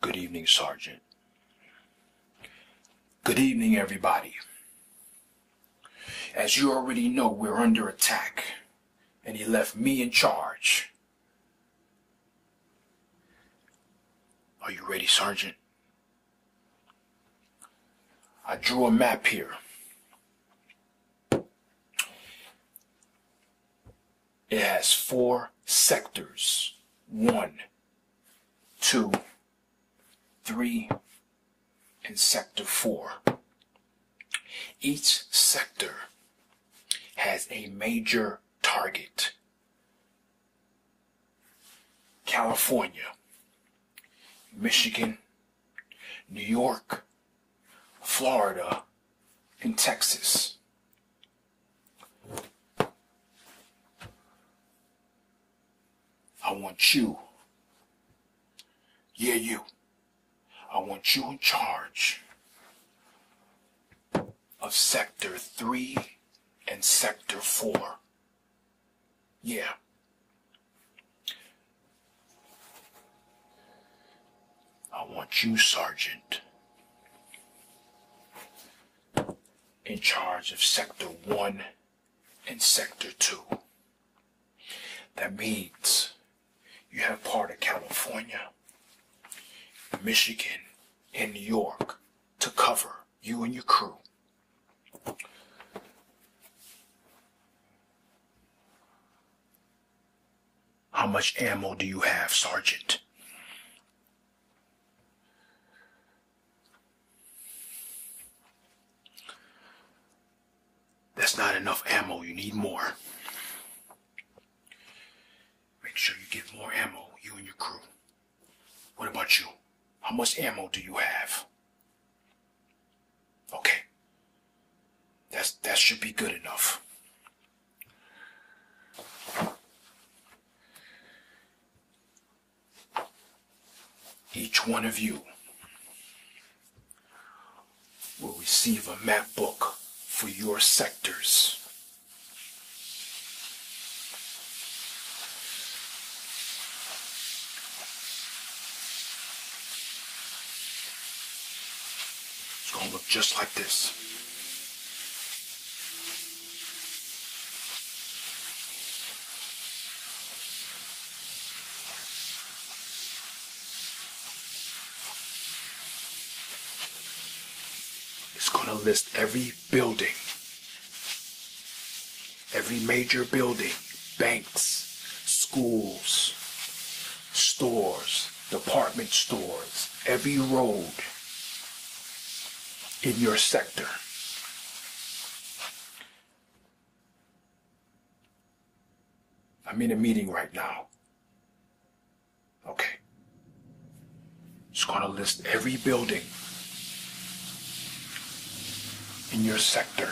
Good evening, Sergeant. Good evening, everybody. As you already know, we're under attack, and he left me in charge. Are you ready, Sergeant? I drew a map here. It has four sectors. One, two, three, and sector four. Each sector has a major target. California, Michigan, New York, Florida, and Texas. I want you. Yeah, you. I want you in charge of Sector 3 and Sector 4. Yeah. I want you, Sergeant, in charge of Sector 1 and Sector 2. That means you have part of California, Michigan, and New York to cover you and your crew. How much ammo do you have, Sergeant? That's not enough ammo. You need more. Make sure you get more ammo, you and your crew. What about you? How much ammo do you have? Okay. That's, that should be good enough. Each one of you will receive a map book for your sectors. It's going to look just like this. It's going to list every building Every major building, banks, schools, stores, department stores, every road in your sector. I'm in a meeting right now. Okay. It's going to list every building in your sector.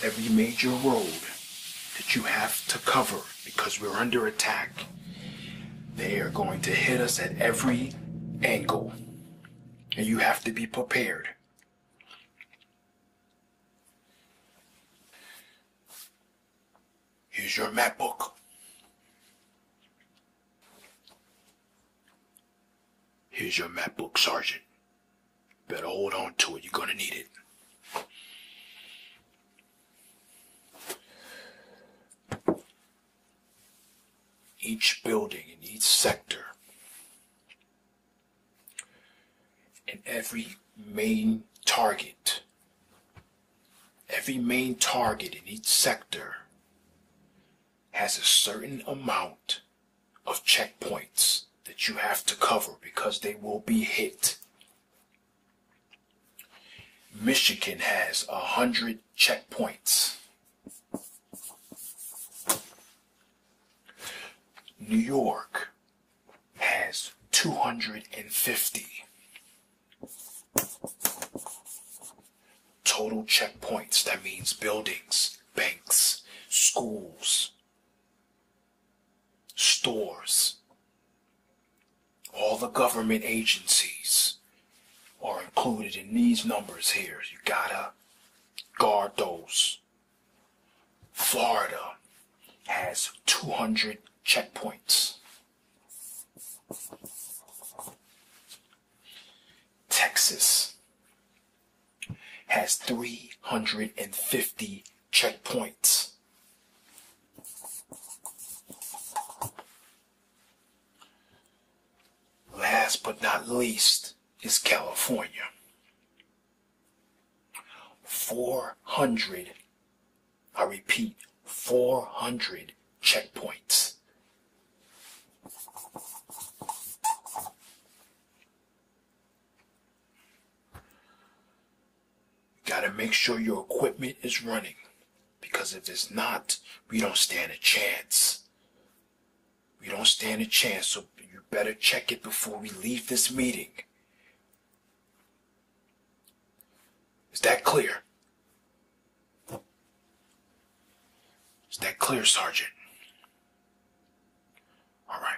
Every major road that you have to cover because we're under attack, they are going to hit us at every angle. And you have to be prepared. Here's your map book. Here's your MacBook, Sergeant. Better hold on to it. You're gonna need it. Each building in each sector and every main target, every main target in each sector has a certain amount of checkpoints that you have to cover because they will be hit. Michigan has a hundred checkpoints. New York has 250. Total checkpoints, that means buildings, banks, schools, stores, all the government agencies are included in these numbers here. You gotta guard those. Florida has 200 checkpoints. Texas has 350 checkpoints. Last but not least is California. 400, I repeat, 400 checkpoints. Gotta make sure your equipment is running because if it's not, we don't stand a chance. We don't stand a chance, so you better check it before we leave this meeting. Is that clear? Is that clear, Sergeant? All right.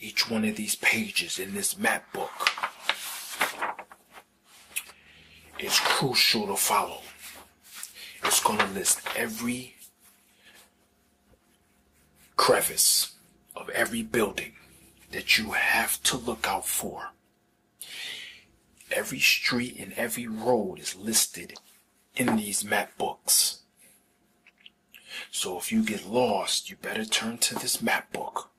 Each one of these pages in this map book is crucial to follow. It's going to list every crevice of every building that you have to look out for. Every street and every road is listed in these map books. So if you get lost, you better turn to this map book.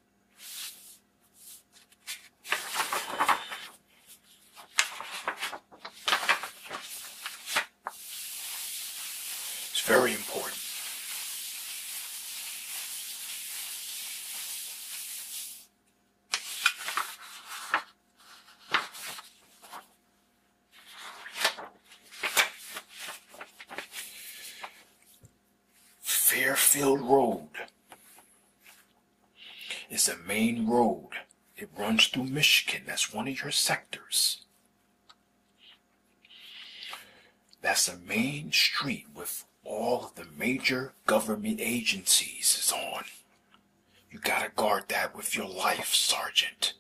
It's very important. Fairfield Road is a main road. It runs through Michigan. That's one of your sectors. That's the main street with all the major government agencies is on. You gotta guard that with your life, Sergeant.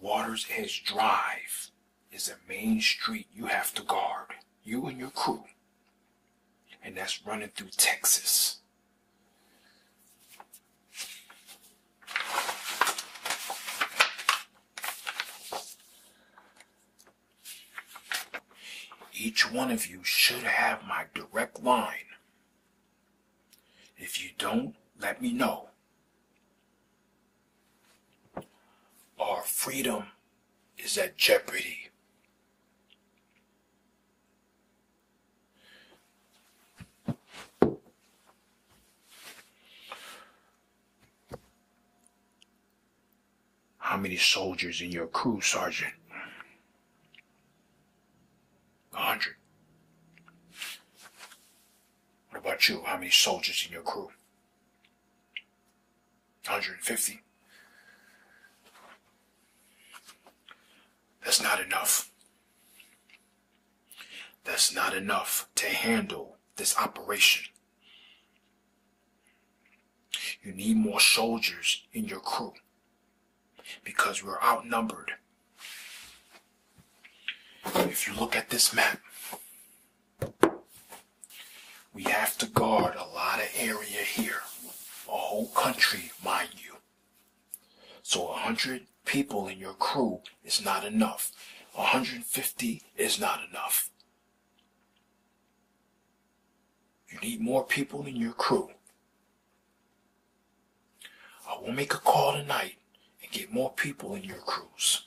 Waters Edge Drive is the main street you have to guard, you and your crew. And that's running through Texas. Each one of you should have my direct line. If you don't, let me know. Our freedom is at jeopardy. How many soldiers in your crew, Sergeant? A hundred. What about you? How many soldiers in your crew? 150. That's not enough. That's not enough to handle this operation. You need more soldiers in your crew because we're outnumbered. If you look at this map, we have to guard a lot of area here, a whole country, mind you. So a 100 people in your crew is not enough. A 150 is not enough. You need more people in your crew. I will make a call tonight and get more people in your crews.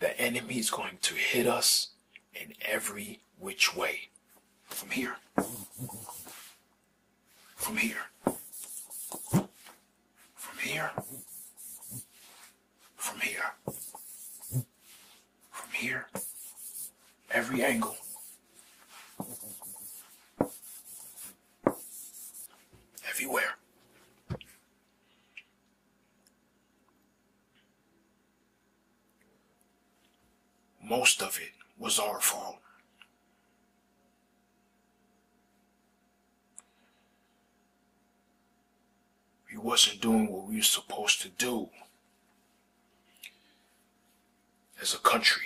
The enemy is going to hit us in every which way. From here. From here. From here. From here from here, every angle. Everywhere. Most of it was our fault we wasn't doing what we were supposed to do as a country.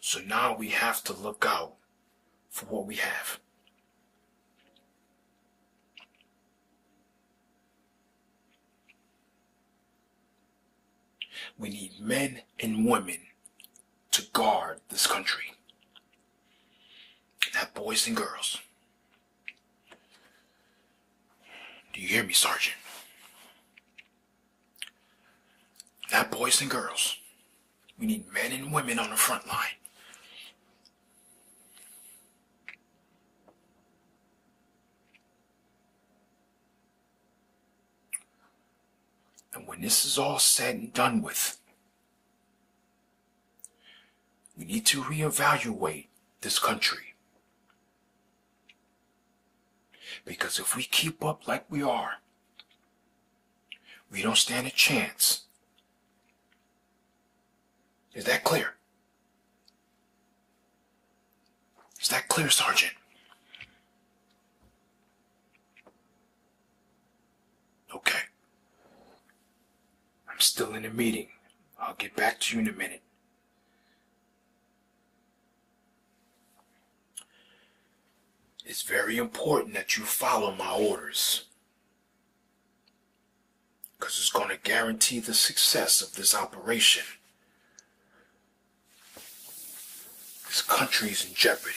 So now we have to look out for what we have. We need men and women to guard this country. Not boys and girls. Do you hear me, Sergeant? Not boys and girls. We need men and women on the front line. And when this is all said and done with, we need to reevaluate this country. Because if we keep up like we are, we don't stand a chance. Is that clear? Is that clear, Sergeant? Okay. I'm still in a meeting. I'll get back to you in a minute. It's very important that you follow my orders. Because it's going to guarantee the success of this operation. This country is in jeopardy.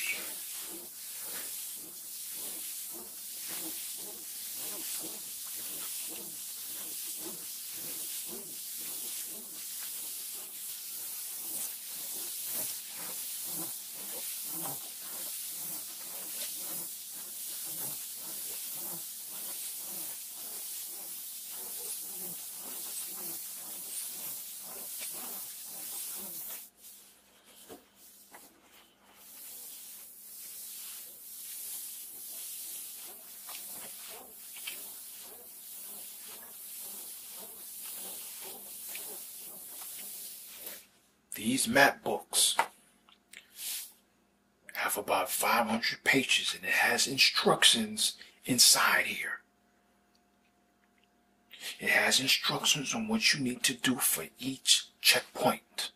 These map books have about 500 pages and it has instructions inside here it has instructions on what you need to do for each checkpoint.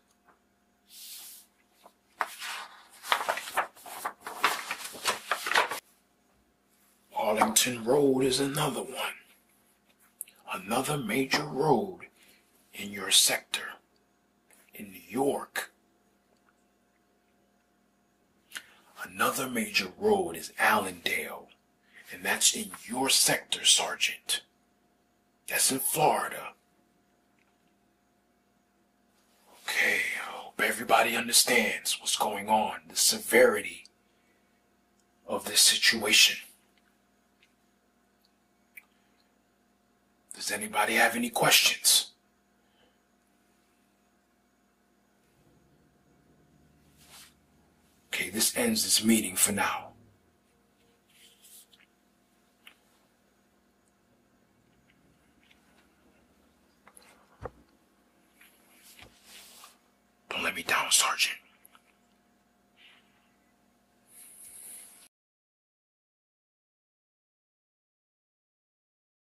Arlington Road is another one, another major road in your sector in York. Another major road is Allendale, and that's in your sector, Sergeant. That's in Florida. Okay, I hope everybody understands what's going on, the severity of this situation. Does anybody have any questions? Okay, this ends this meeting for now. Don't let me down, Sergeant.